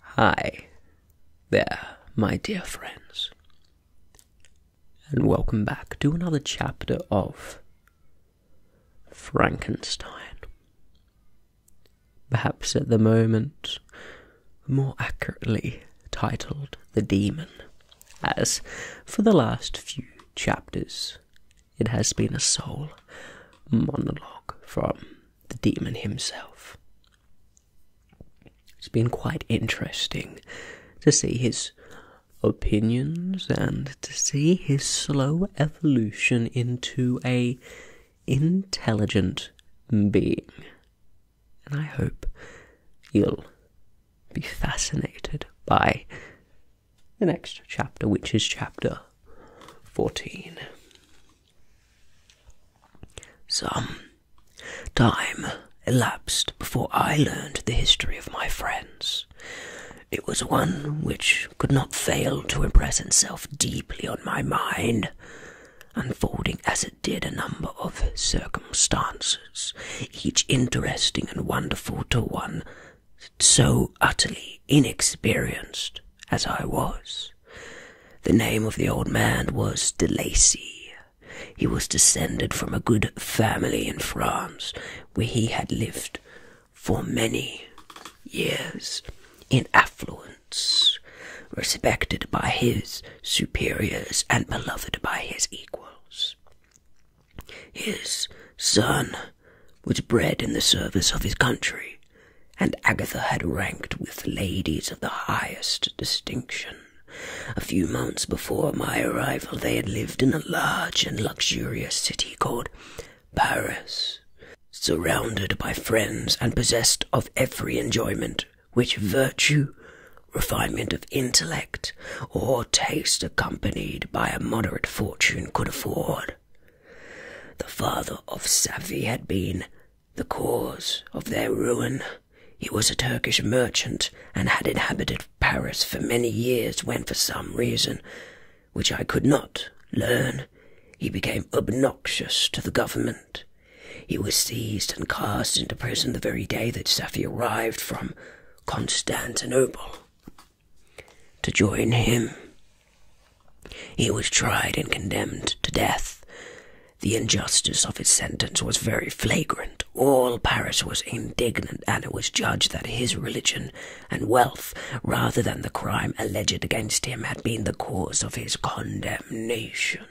Hi there, my dear friends, and welcome back to another chapter of Frankenstein. Perhaps at the moment, more accurately titled The Demon, as for the last few chapters, it has been a sole monologue from the demon himself. It's been quite interesting to see his opinions and to see his slow evolution into a intelligent being. And I hope you'll be fascinated by the next chapter, which is chapter 14. Some time elapsed before I learned the history of my friends. It was one which could not fail to impress itself deeply on my mind, unfolding as it did a number of circumstances, each interesting and wonderful to one so utterly inexperienced as I was. The name of the old man was De Lacy. He was descended from a good family in France, where he had lived for many years in affluence, respected by his superiors and beloved by his equals. His son was bred in the service of his country, and Agatha had ranked with ladies of the highest distinction. A few months before my arrival, they had lived in a large and luxurious city called Paris, surrounded by friends and possessed of every enjoyment which virtue, refinement of intellect, or taste accompanied by a moderate fortune could afford. The father of Safi had been the cause of their ruin. He was a Turkish merchant and had inhabited Paris for many years when, for some reason which I could not learn, he became obnoxious to the government. He was seized and cast into prison the very day that Safi arrived from Constantinople to join him. He was tried and condemned to death. The injustice of his sentence was very flagrant. All Paris was indignant, and it was judged that his religion and wealth, rather than the crime alleged against him, had been the cause of his condemnation.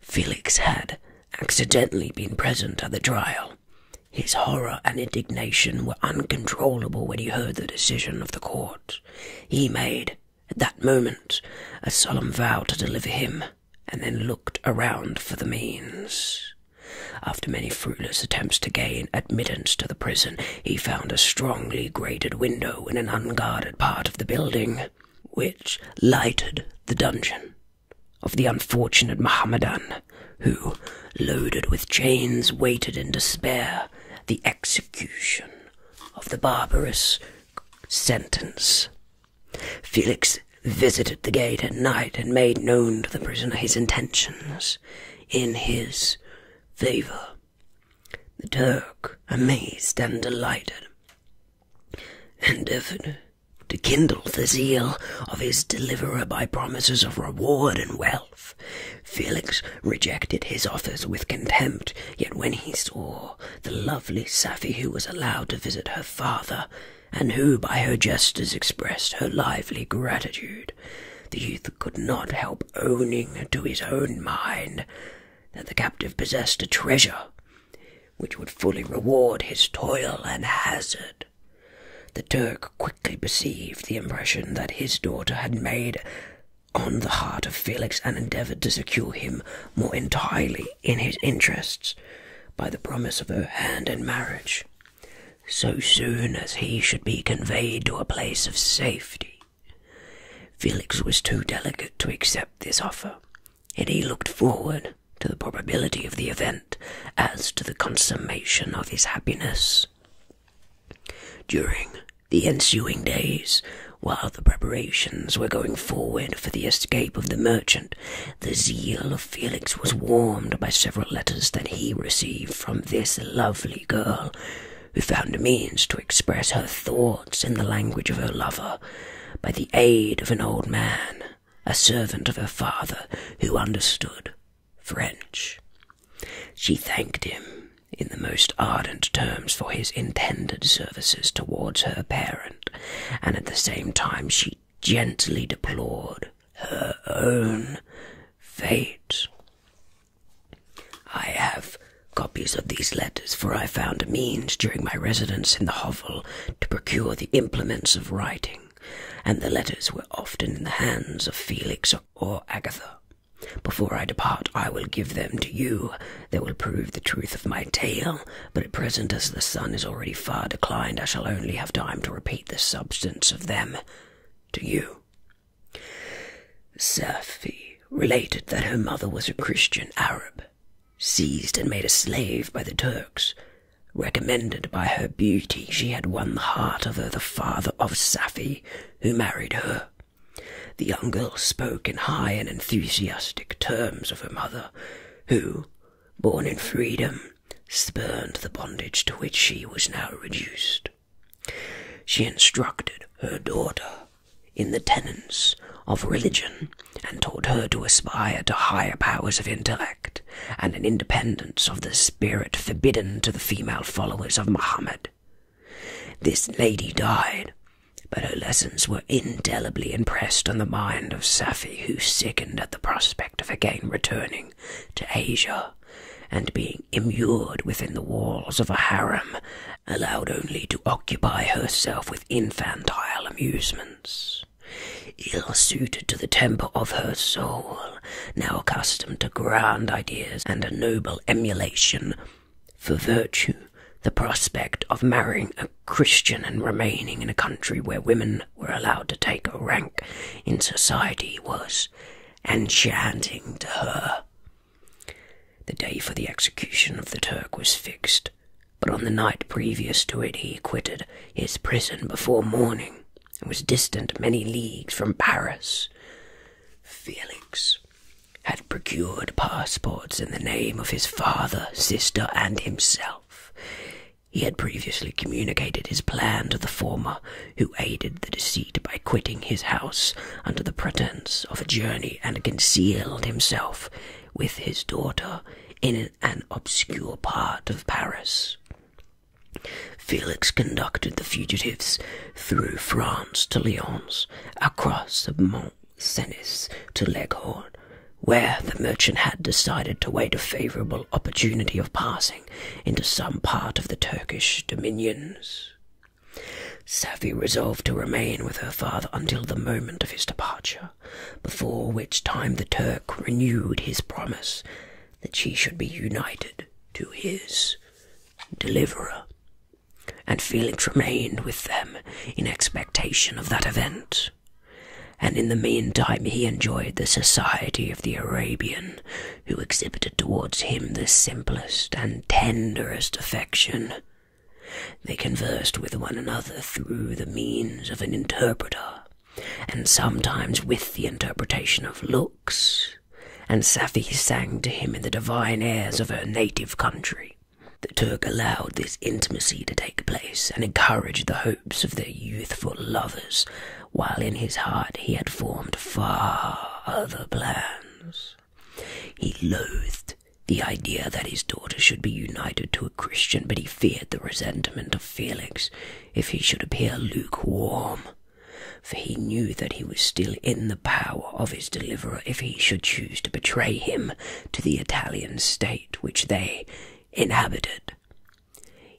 Felix had accidentally been present at the trial. His horror and indignation were uncontrollable when he heard the decision of the court. He made, at that moment, a solemn vow to deliver him, and then looked around for the means. After many fruitless attempts to gain admittance to the prison, he found a strongly grated window in an unguarded part of the building, which lighted the dungeon of the unfortunate Mohammedan who, loaded with chains, waited in despair the execution of the barbarous sentence. Felix visited the gate at night and made known to the prisoner his intentions in his favour. The Turk, amazed and delighted, endeavoured to kindle the zeal of his deliverer by promises of reward and wealth. Felix rejected his offers with contempt, yet when he saw the lovely Safi who was allowed to visit her father, and who by her gestures expressed her lively gratitude, the youth could not help owning to his own mind that the captive possessed a treasure which would fully reward his toil and hazard. The Turk quickly perceived the impression that his daughter had made on the heart of Felix and endeavoured to secure him more entirely in his interests by the promise of her hand in marriage, so soon as he should be conveyed to a place of safety. Felix was too delicate to accept this offer, and he looked forward to the probability of the event as to the consummation of his happiness. During the ensuing days, while the preparations were going forward for the escape of the merchant, the zeal of Felix was warmed by several letters that he received from this lovely girl, who found means to express her thoughts in the language of her lover by the aid of an old man, a servant of her father, who understood French. She thanked him in the most ardent terms for his intended services towards her parent, and at the same time she gently deplored her own fate. I have copies of these letters, for I found means during my residence in the hovel to procure the implements of writing and the letters were often in the hands of Felix or Agatha. Before I depart, I will give them to you. They will prove the truth of my tale, but at present, as the sun is already far declined, I shall only have time to repeat the substance of them to you. Serfi related that her mother was a Christian Arab, seized and made a slave by the Turks, Recommended by her beauty, she had won the heart of her the father of Safi, who married her. The young girl spoke in high and enthusiastic terms of her mother, who, born in freedom, spurned the bondage to which she was now reduced. She instructed her daughter in the tenets of religion and taught her to aspire to higher powers of intellect and an independence of the spirit forbidden to the female followers of Mohammed. This lady died, but her lessons were indelibly impressed on the mind of Safi, who sickened at the prospect of again returning to Asia and being immured within the walls of a harem allowed only to occupy herself with infantile amusements ill suited to the temper of her soul, now accustomed to grand ideas and a noble emulation for virtue, the prospect of marrying a Christian and remaining in a country where women were allowed to take a rank in society was enchanting to her. The day for the execution of the Turk was fixed, but on the night previous to it he quitted his prison before morning and was distant many leagues from Paris. Felix had procured passports in the name of his father, sister, and himself. He had previously communicated his plan to the former, who aided the deceit by quitting his house under the pretence of a journey and concealed himself with his daughter in an an obscure part of Paris. Felix conducted the fugitives through France to Lyons, across the Mont Cenis to Leghorn, where the merchant had decided to wait a favourable opportunity of passing into some part of the Turkish dominions. Safi resolved to remain with her father until the moment of his departure, before which time the Turk renewed his promise that she should be united to his deliverer. And Felix remained with them in expectation of that event. And in the mean time he enjoyed the society of the Arabian, who exhibited towards him the simplest and tenderest affection. They conversed with one another through the means of an interpreter, and sometimes with the interpretation of looks, and Safi sang to him in the divine airs of her native country. The Turk allowed this intimacy to take place and encouraged the hopes of their youthful lovers, while in his heart he had formed far other plans. He loathed the idea that his daughter should be united to a Christian, but he feared the resentment of Felix if he should appear lukewarm, for he knew that he was still in the power of his deliverer if he should choose to betray him to the Italian state which they inhabited.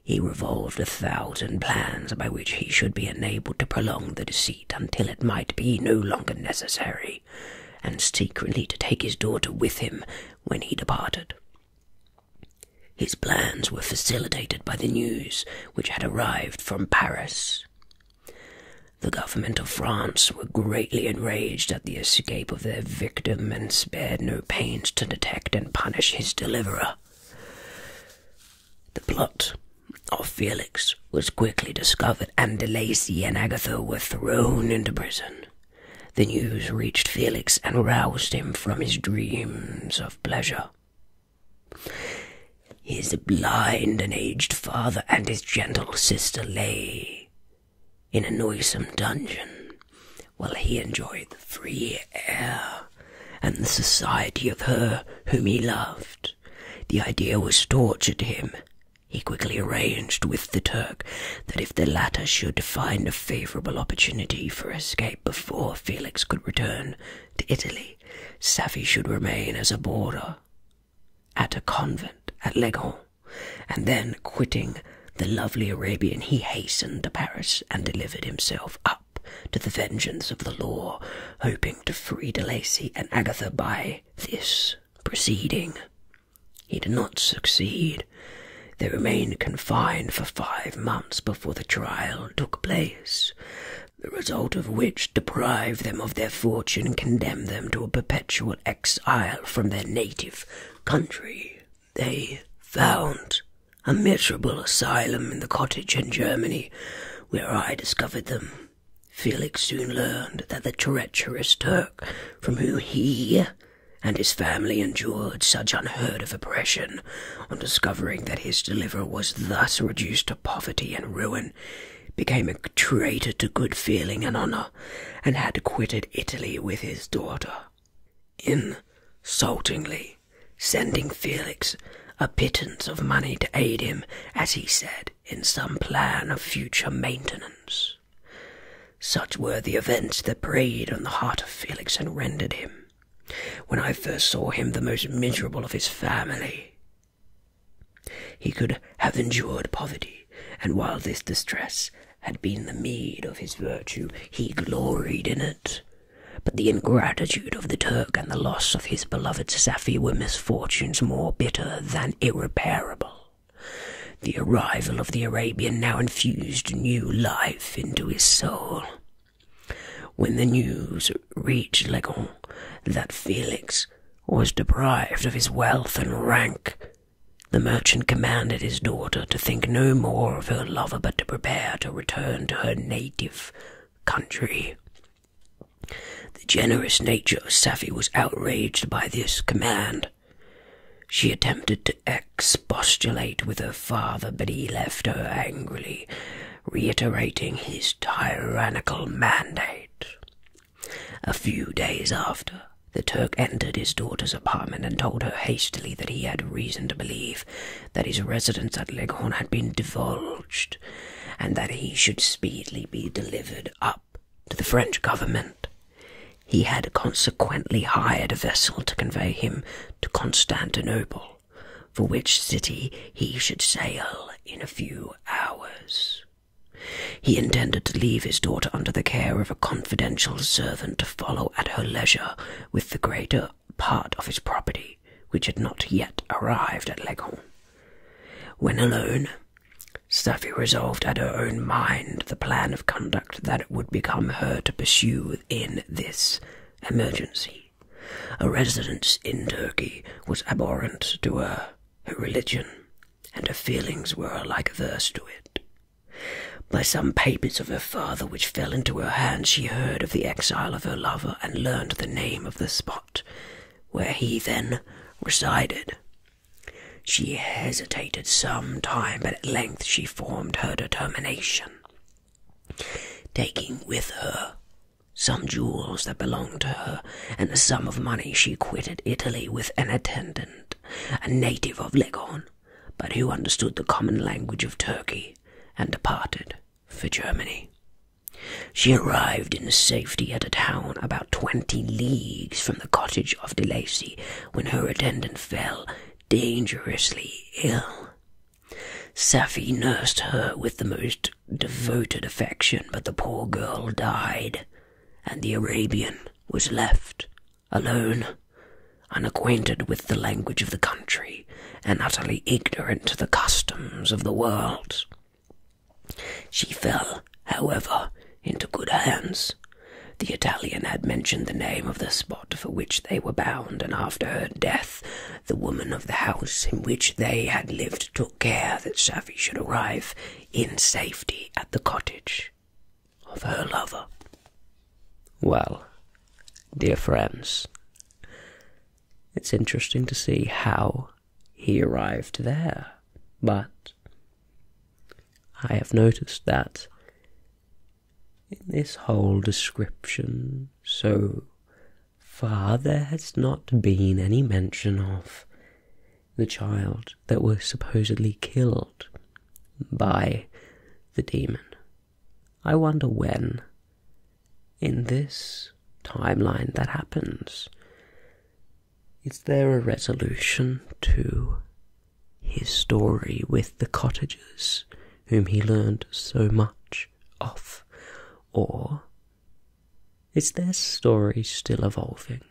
He revolved a thousand plans by which he should be enabled to prolong the deceit until it might be no longer necessary and secretly to take his daughter with him when he departed. His plans were facilitated by the news which had arrived from Paris. The government of France were greatly enraged at the escape of their victim and spared no pains to detect and punish his deliverer. The plot of Felix was quickly discovered, and De Lacy and Agatha were thrown into prison. The news reached Felix and roused him from his dreams of pleasure. His blind and aged father and his gentle sister lay in a noisome dungeon, while he enjoyed the free air and the society of her whom he loved. The idea was torture to him, he quickly arranged with the Turk that if the latter should find a favourable opportunity for escape before Felix could return to Italy, Safi should remain as a boarder at a convent at Leghorn, and then quitting the lovely Arabian, he hastened to Paris and delivered himself up to the vengeance of the law, hoping to free De Lacy and Agatha by this proceeding. He did not succeed. They remained confined for five months before the trial took place, the result of which deprived them of their fortune and condemned them to a perpetual exile from their native country. They found a miserable asylum in the cottage in Germany where I discovered them. Felix soon learned that the treacherous Turk, from whom he and his family endured such unheard of oppression, on discovering that his deliverer was thus reduced to poverty and ruin, became a traitor to good feeling and honour, and had quitted Italy with his daughter. Insultingly, sending Felix a pittance of money to aid him, as he said, in some plan of future maintenance. Such were the events that preyed on the heart of Felix and rendered him, when I first saw him, the most miserable of his family. He could have endured poverty, and while this distress had been the meed of his virtue, he gloried in it. But the ingratitude of the Turk and the loss of his beloved Safi were Fortunes more bitter than irreparable. The arrival of the Arabian now infused new life into his soul. When the news reached Legon that Felix was deprived of his wealth and rank, the merchant commanded his daughter to think no more of her lover but to prepare to return to her native country. The generous nature of Safi was outraged by this command. She attempted to expostulate with her father, but he left her angrily, reiterating his tyrannical mandate. A few days after, the Turk entered his daughter's apartment and told her hastily that he had reason to believe that his residence at Leghorn had been divulged and that he should speedily be delivered up to the French government. He had consequently hired a vessel to convey him to Constantinople, for which city he should sail in a few hours. He intended to leave his daughter under the care of a confidential servant to follow at her leisure with the greater part of his property which had not yet arrived at Leghorn. When alone, Stuffy resolved at her own mind the plan of conduct that it would become her to pursue in this emergency. A residence in Turkey was abhorrent to her, her religion, and her feelings were alike averse to it. By some papers of her father which fell into her hands, she heard of the exile of her lover and learned the name of the spot where he then resided. She hesitated some time, but at length she formed her determination, taking with her some jewels that belonged to her, and a sum of money, she quitted Italy with an attendant, a native of Leghorn, but who understood the common language of Turkey, and departed for Germany. She arrived in safety at a town about twenty leagues from the cottage of De Lacy when her attendant fell dangerously ill. Sapphi nursed her with the most devoted affection, but the poor girl died, and the Arabian was left alone, unacquainted with the language of the country, and utterly ignorant of the customs of the world. She fell, however, into good hands. The Italian had mentioned the name of the spot for which they were bound, and after her death, the woman of the house in which they had lived took care that Savvy should arrive in safety at the cottage of her lover. Well, dear friends, it's interesting to see how he arrived there, but I have noticed that in this whole description so far there has not been any mention of the child that was supposedly killed by the demon. I wonder when, in this timeline, that happens. Is there a resolution to his story with the cottagers whom he learned so much of? Or is their story still evolving?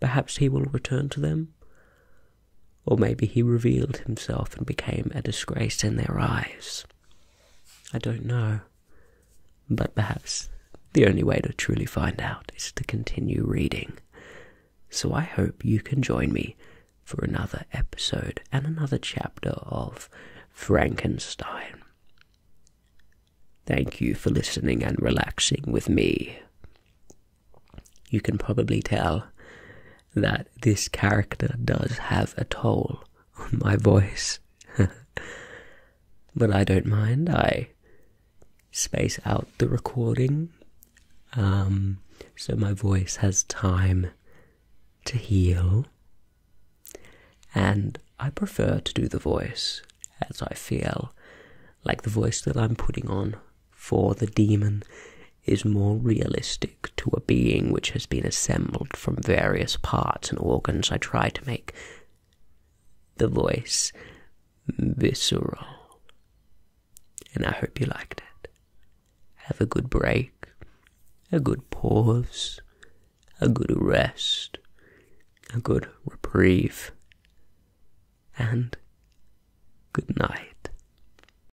Perhaps he will return to them? Or maybe he revealed himself and became a disgrace in their eyes. I don't know. But perhaps the only way to truly find out is to continue reading. So I hope you can join me for another episode and another chapter of Frankenstein. Thank you for listening and relaxing with me. You can probably tell that this character does have a toll on my voice. but I don't mind. I space out the recording um, so my voice has time to heal. And I prefer to do the voice as I feel, like the voice that I'm putting on for the demon is more realistic to a being which has been assembled from various parts and organs. I try to make the voice visceral. And I hope you liked it. Have a good break, a good pause, a good rest, a good reprieve, and good night.